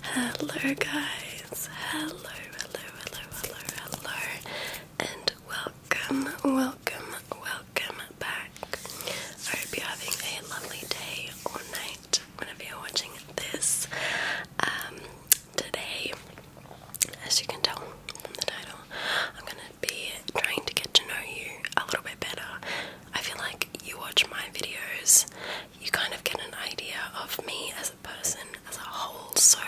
Hello, guys. Hello, hello, hello, hello, hello, and welcome, welcome, welcome back. I hope you're having a lovely day or night whenever you're watching this. Um, today, as you can tell from the title, I'm gonna be trying to get to know you a little bit better. I feel like you watch my videos, you kind of get an idea of me as a person as a whole, so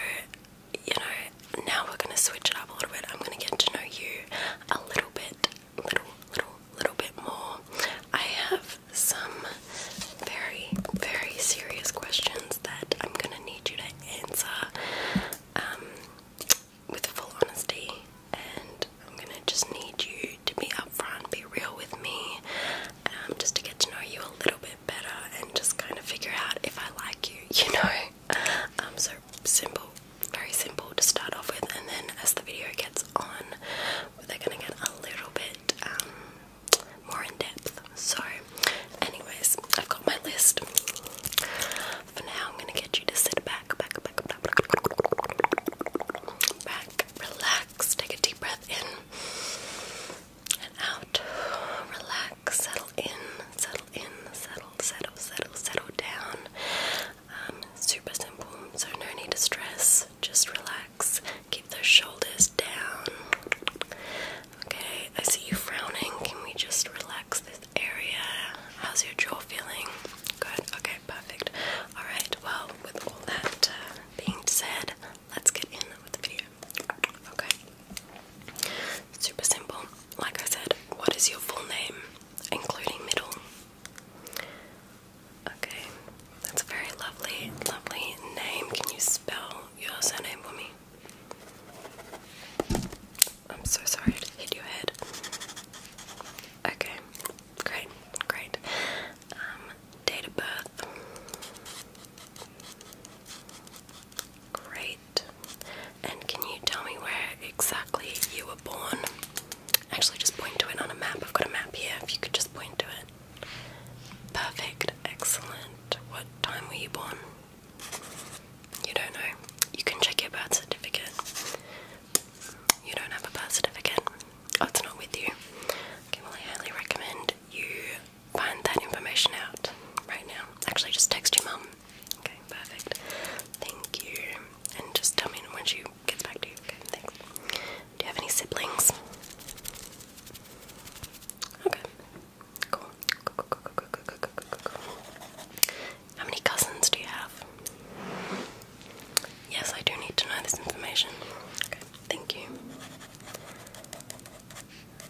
you know, now we're gonna switch it up a little bit. I'm gonna get to know you a little bit, little, little, little bit more. I have some very, very serious questions that I'm gonna need you to answer um, with full honesty, and I'm gonna just need you to be upfront, be real with me, um, just to get to know you a little bit better and just kind of figure out if I like you, you know? Um, so simple, very simple to start off with, and then as the video gets on, we are gonna get a little bit um, more in depth. So, anyways, I've got my list. For now, I'm gonna get you to sit back, back, back, back, back, back relax, take a deep breath in and out, relax, settle in, settle in, settle, settle, settle, settle down. Um, super simple, so no need to stress, just relax, keep those shoulders down. Okay, I see you frowning. Can we just relax this area? How's your jaw feeling? Good. Okay, perfect. All right. Well, with all that uh, being said, let's get in with the video. Okay. Super simple. Like I said, what is your full name, including middle? Okay, that's a very lovely, lovely name. Can you spell your surname for me? I'm so sorry to hit your head. Okay, great, great. Um, date of birth. Great. And can you tell me where exactly you were born? Actually, just point to it on a map. I've got a map here. If you could just point to it. Perfect. Excellent. What time were you born? You don't know. You can check your birth certificate. You don't have a birth certificate. Oh, it's not with you. Okay, well, I highly recommend you find that information out right now. Actually, just text your mum. Okay, perfect. Thank you. And just tell me once she gets back to you. Okay, thanks. Do you have any siblings? Okay. How many cousins do you have? Yes, I do need to know this information. Okay, thank you.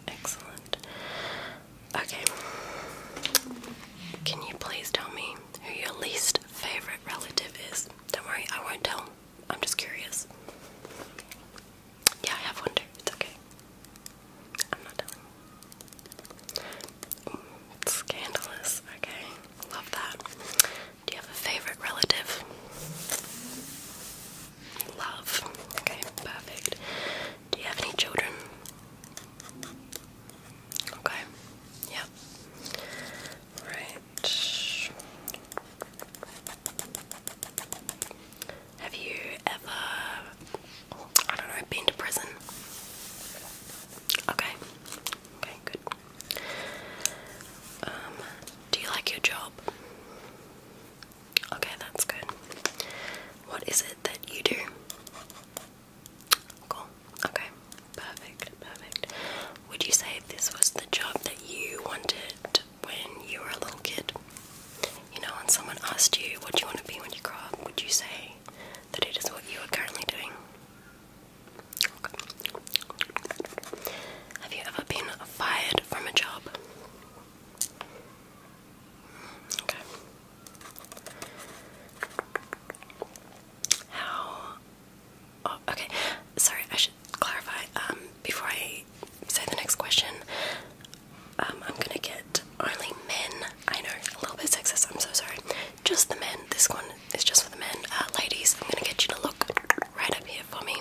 Excellent. Okay. Can you please tell me who your least favorite relative is? Don't worry, I won't tell. I'm just curious. Yeah, I have one too. It's okay. I'm not telling. Mm, scandalous. Okay, love that. Do you have a favorite relative? Love. Okay, perfect. Do you have any children? Okay. Yep. Right. Have you ever, I don't know, been to prison? Okay, okay, good. Um, do you like your job? Okay, that's good. What is it that you do? Cool. Okay, perfect, perfect. Would you say this was the job that you wanted when you were a little kid? You know, when someone asked you what you want to be when you grow up, would you say that it is what you are currently doing? Have you ever been fired from a job? Okay. How? Oh, okay. Sorry, I should clarify. Um, before I I say the next question, um, I'm gonna get only men. I know, a little bit sexist, I'm so sorry. Just the men. This one is just for the men. Uh, ladies, I'm gonna get you to look right up here for me.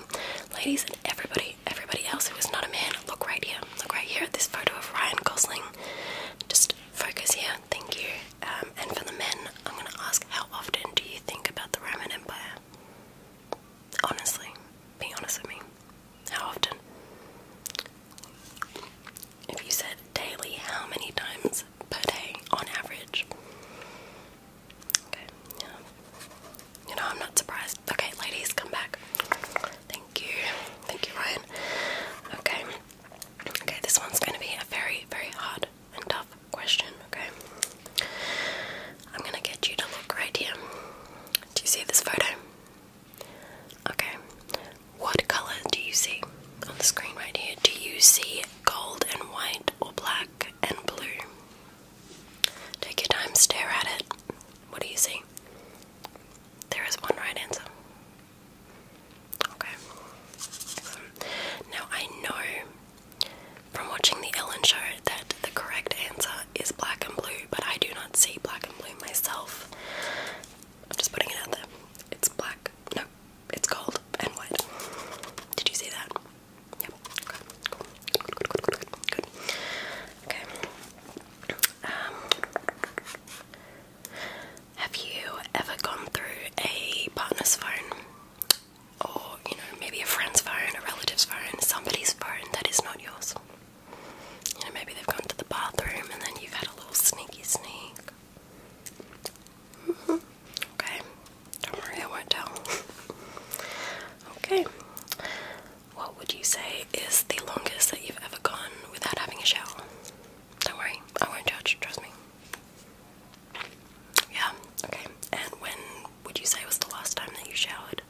Ladies and everybody, everybody else who is not a man, look right here. Look right here at this photo of Ryan Gosling. Just focus here. Thank you. Um, and for the men, I'm gonna ask how often do you think about the Roman Empire? Honestly, be honest with me. How often? If you said daily, how many times per day on average? Okay, yeah. You know, I'm not surprised. Okay, ladies, come back. Thank you. Thank you, Ryan. Okay. Okay, this one's going to be a very, very hard and tough question, okay? I'm going to get you to look right here. Do you see this photo? Okay. What color do you see on the screen right here? Do you see gold and white or black and blue? Take your time, stare at it. What do you see? There is one right answer. Okay. Now I know from watching the Ellen show that the correct answer is black and blue, but I do not see black and blue myself. I'm just putting it out there. It's black. No, it's called and white. Did you see that? Yep. Okay. Good. Okay. Um, have you ever gone through a partner's phone? Or, you know, maybe a friend's phone, a relative's phone, somebody's phone that is not yours. You know, maybe they've gone to the bathroom and then you've had a little sneaky sneak. Mm Okay, don't worry, I won't tell. okay, what would you say is the longest that you've ever gone without having a shower? Don't worry, I won't judge, trust me. Yeah, okay, and when would you say was the last time that you showered?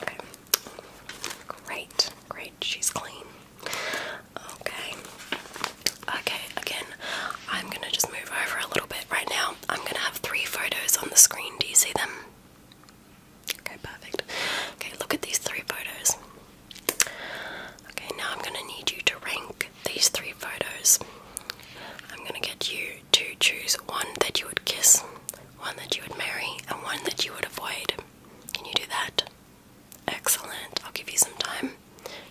Okay. Great. Great. She's clean. Okay. Okay, again, I'm gonna just move over a little bit right now. I'm gonna have three photos on the screen. Do you see them? Okay, perfect. Okay, look at these three photos. Okay, now I'm gonna need you to rank these three photos. I'm gonna get you to choose one that you would kiss, one that you would marry, and one that you would avoid. Can you do that? Excellent. I'll give you some time.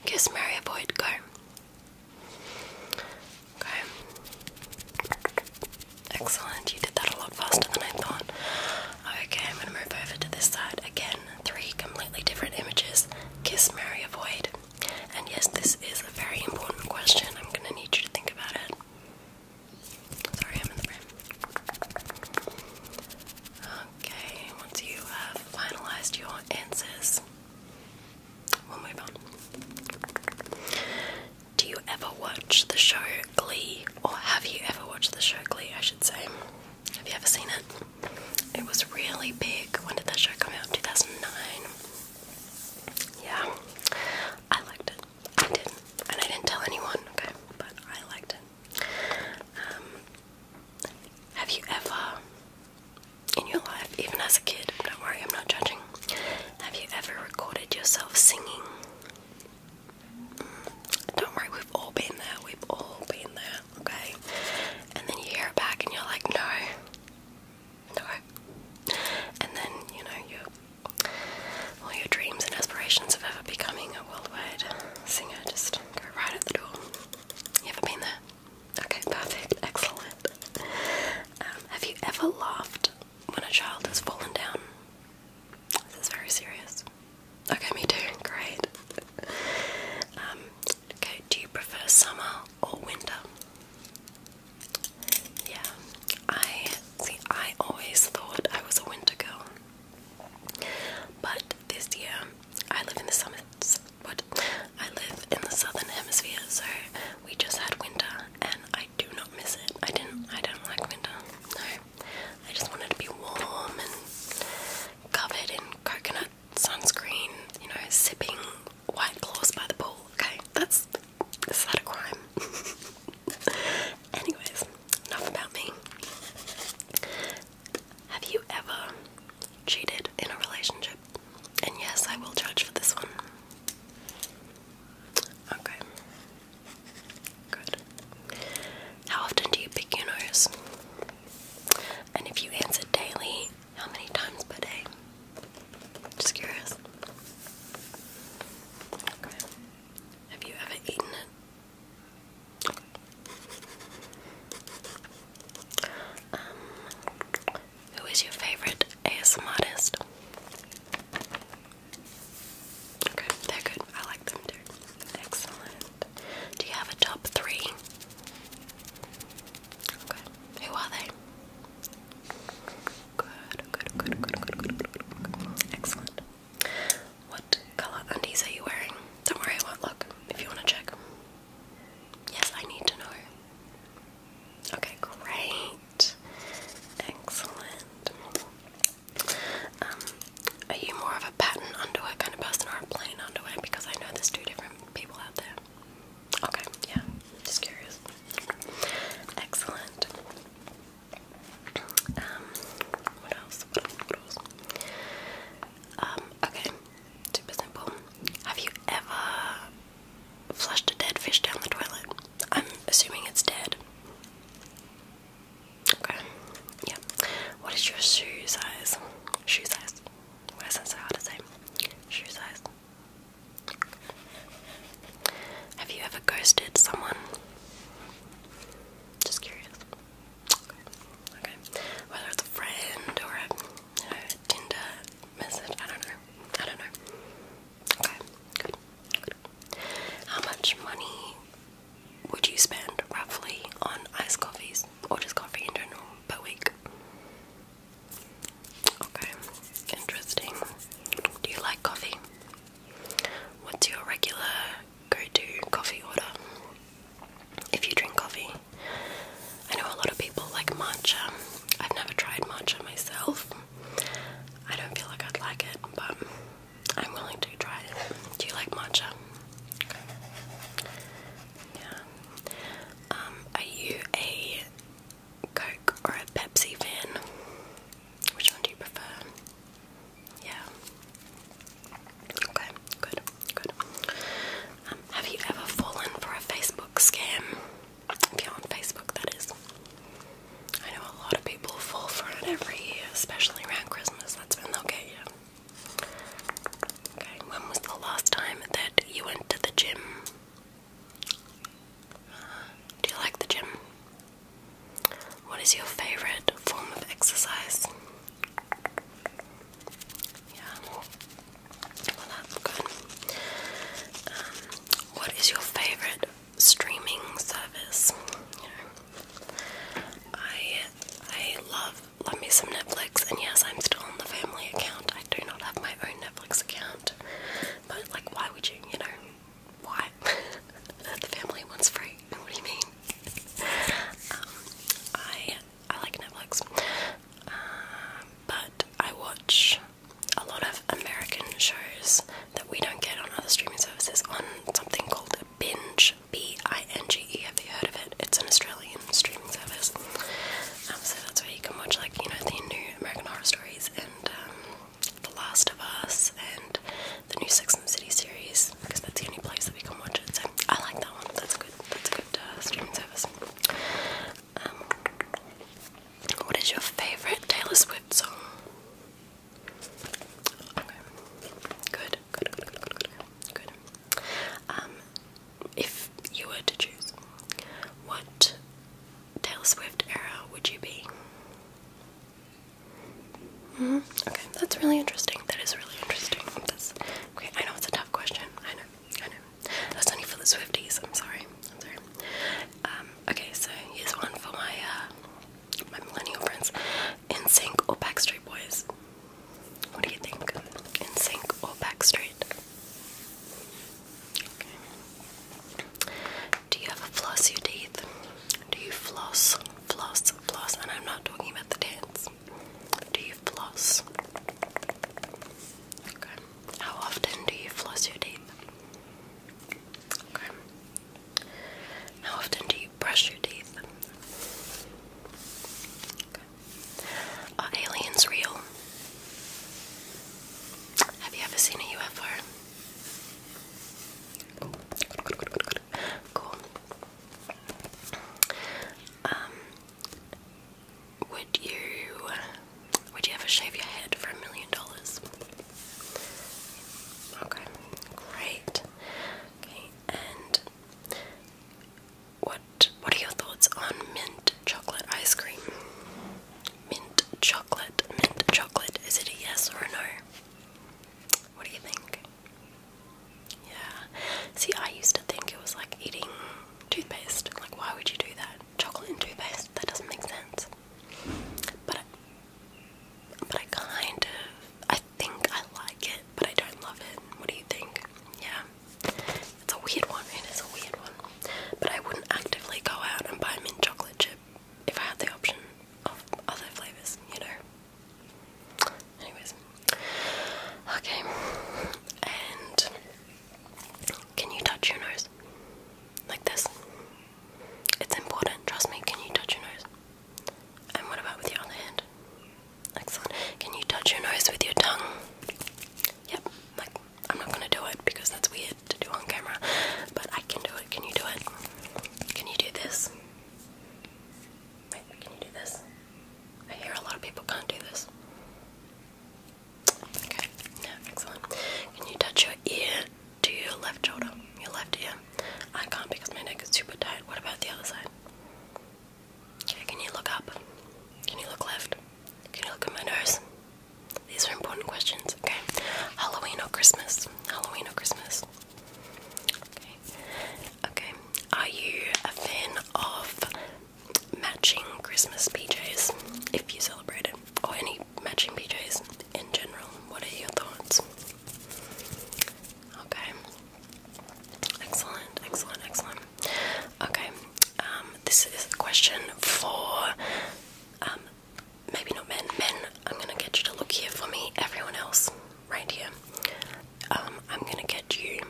Kiss, marry, avoid, go. Okay. Excellent. You did that a lot faster than I thought. Okay, I'm going to move over to this side again. Three completely different images. Kiss, marry, avoid. And yes, this is a very important question. I'm going to need you to think about it. Sorry, I'm in the room. Okay, once you have finalized your answers, we'll move on. Do you ever watch the show Glee? Or have you ever watched the show Glee, I should say? Have you ever seen it? It was really big. When did that show come out? 2009. Yeah, I liked it. I did, and I didn't tell anyone. Okay, but I liked it. Um, have you ever, in your life, even as a kid? Don't worry, I'm not judging. Have you ever recorded yourself singing? Mm, don't worry, we've all been there. We've all been there. Okay, and then you hear it back, and you're like, no. No. And then, you know, you all your dreams and aspirations of ever becoming a worldwide singer just go right at the door. You ever been there? Okay, perfect, excellent. Um, have you ever laughed when a child has fallen down? This is very serious. Okay, me too, great. Um, okay, do you prefer summer or winter? Yeah, I see. I always thought I was a winter girl, but this year I live in the summits. But I live in the southern hemisphere, so we just had winter, and I do not miss it. I didn't. I don't like winter. No, I just wanted to be warm and covered in coconut sunscreen. You know, sipping white claws by the pool. Okay, that's is that a crime? Anyways, enough about me. Have you ever cheated in a relationship? And yes, I will judge for this one. Okay. Good. How often do you pick your nose? And if you answer daily, how many times per day? Just curious. Okay. Have you ever eaten it? Um, who is your favorite ASM Okay, they're good. I like them too. Excellent. Do you have a top three? Okay. Who are they? Good, good, good, good, good, good, good, good. Excellent. What color undies are you wearing? Don't worry, I won't look if you want to check. Yes, I need to know. Okay, great. Excellent. Um, are you more of a pattern underwear kind of person or a plain underwear? Because I know there's two different people out there. Okay, yeah, just curious. Excellent. Um, what else? What else? What else? Um, okay. Super simple. Have you ever flushed a dead fish down the toilet? I'm assuming it's dead. Okay. Yeah. What is your shoe size? Shoe size. Why that so hard to say? Shoe size. Have you ever ghosted someone? Just curious. Okay. okay. Whether it's a friend or a Tinder message, I don't know. I don't know. Okay. Good. Good. How much money would you spend roughly on iced coffees or just coffee in general per week? Okay. Interesting. Do you like coffee? What's your regular go to coffee order? If you drink coffee, I know a lot of people like matcha. I've never tried matcha myself. I don't feel like I'd like it, but I'm willing to try it. Do you like matcha? Yeah. Um, are you a Coke or a Pepsi fan? Which one do you prefer? Yeah. Okay, good, good. Um, have you ever fallen for a Facebook scam? If you're on Facebook, that is. I know a lot of people fall for it every year, especially around Christmas. That's when they'll get you. Okay, when was the last time that you went to the gym? do you like the gym? What is your favorite form of exercise? Yeah. Well, that's good. Um, what is your favorite streaming service? I I love love me some Netflix, and yes, I'm still on the family account. I do not have my own Netflix account, but like, why would you? You know, why? the family one's free. What do you mean? Um, I I like Netflix, uh, but I watch a lot of American shows that we don't get on other streaming services on something called Binge. B I N G E. Have you heard of it? It's an Australian streaming service. Um, so that's where you can watch like you know the new American horror stories and um, the Last of Us and the new Sex and City series because that's the only place that we can watch it. So I like that one. That's a good. That's a good uh, streaming service. Um, what is your favorite Taylor Swift song? Okay. Good. Good. Good. Good. Good. Good. good. Um, if you were to choose, what Taylor Swift era would you be? Mm-hmm. Okay, that's really interesting. That is really interesting. That's, okay, I know it's a tough question. I know, I know. That's only for the Swifties. I'm sorry. I'm sorry. Um, okay, so here's one for my uh, my millennial friends: In Sync or Backstreet Boys. What do you think? In Sync or Backstreet? Okay. Do you ever floss your teeth? Do you floss? Floss, floss, and I'm not talking about the dance. Do you floss? Okay. How often do you floss your teeth? Okay. How often do you brush your teeth? Are aliens real? Have you ever seen a UFO? Cool. Um, would you would you ever shave your head for a million dollars? Okay, great. Okay, and what what are your thoughts on mint chocolate ice cream? Mint chocolate, mint chocolate. Is it a yes or a no? What do you think? Yeah. See, I used to think it was like eating toothpaste. Like, why would you do that? Chocolate and toothpaste? That doesn't make sense. But, I, but I kind of, I think I like it, but I don't love it. What do you think? Yeah. It's a weird one. It is a weird one. But I wouldn't actively go out and buy mint chocolate chip if I had the option of other flavours, you know. Anyways. Okay. And can you touch your nose? Like this. It's important, trust me, can you touch your nose? And what about with your other hand? Excellent. Can you touch your nose with your tongue? Yep. Like I'm not gonna do it because that's weird to do on camera. But I can do it. Can you do it? Can you do this? can you do this? I hear a lot of people can't do this. Okay, no, excellent. Can you touch your ear to your left shoulder? Your left ear? I can't because my neck is super tight. What about the other side? Okay, can you look up? Can you look left? Can you look at my nose? These are important questions, okay? Halloween or Christmas? Halloween or Christmas? Okay. Okay. Are you a fan of matching Christmas PJs if you celebrate it? Or any matching PJs in general? What are your thoughts? Okay. Excellent, excellent, excellent. Okay. Um, this is a question for um, maybe not men, men, I'm gonna get you to look here for me, everyone else, right here. Um, I'm gonna get you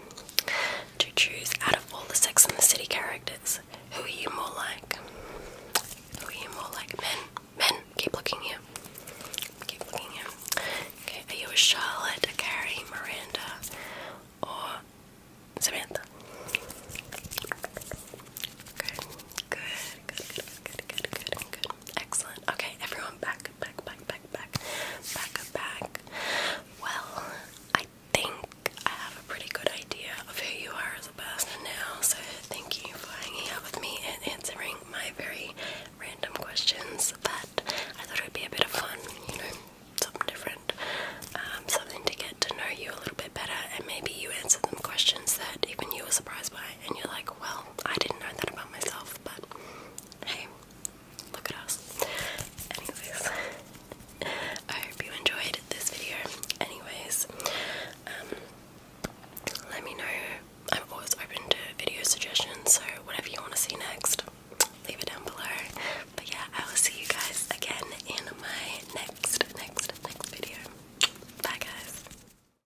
to choose out of all the Sex and the City characters, who are you more like? Who are you more like? Men, men, keep looking here. Keep looking here. Okay, are you a Charlotte, a Carrie, Miranda, or Samantha? Good, good, good, good, good, good, Excellent. Okay, everyone back, back, back, back, back, back, back. Well, I think I have a pretty good idea of who you are as a person now, so thank you for hanging out with me and answering my very random questions that I thought it would be a bit of fun, you know, something different, um, something to get to know you a little bit better, and maybe you answer them questions that even you were surprised by, and you're like, well, I didn't know that about myself, but hey, look at us. Anyways, I hope you enjoyed this video. Anyways, um, let me know. I'm always open to video suggestions, so whatever you want to see next, leave it down below. But yeah, I will see you guys again in my next, next, next video. Bye, guys.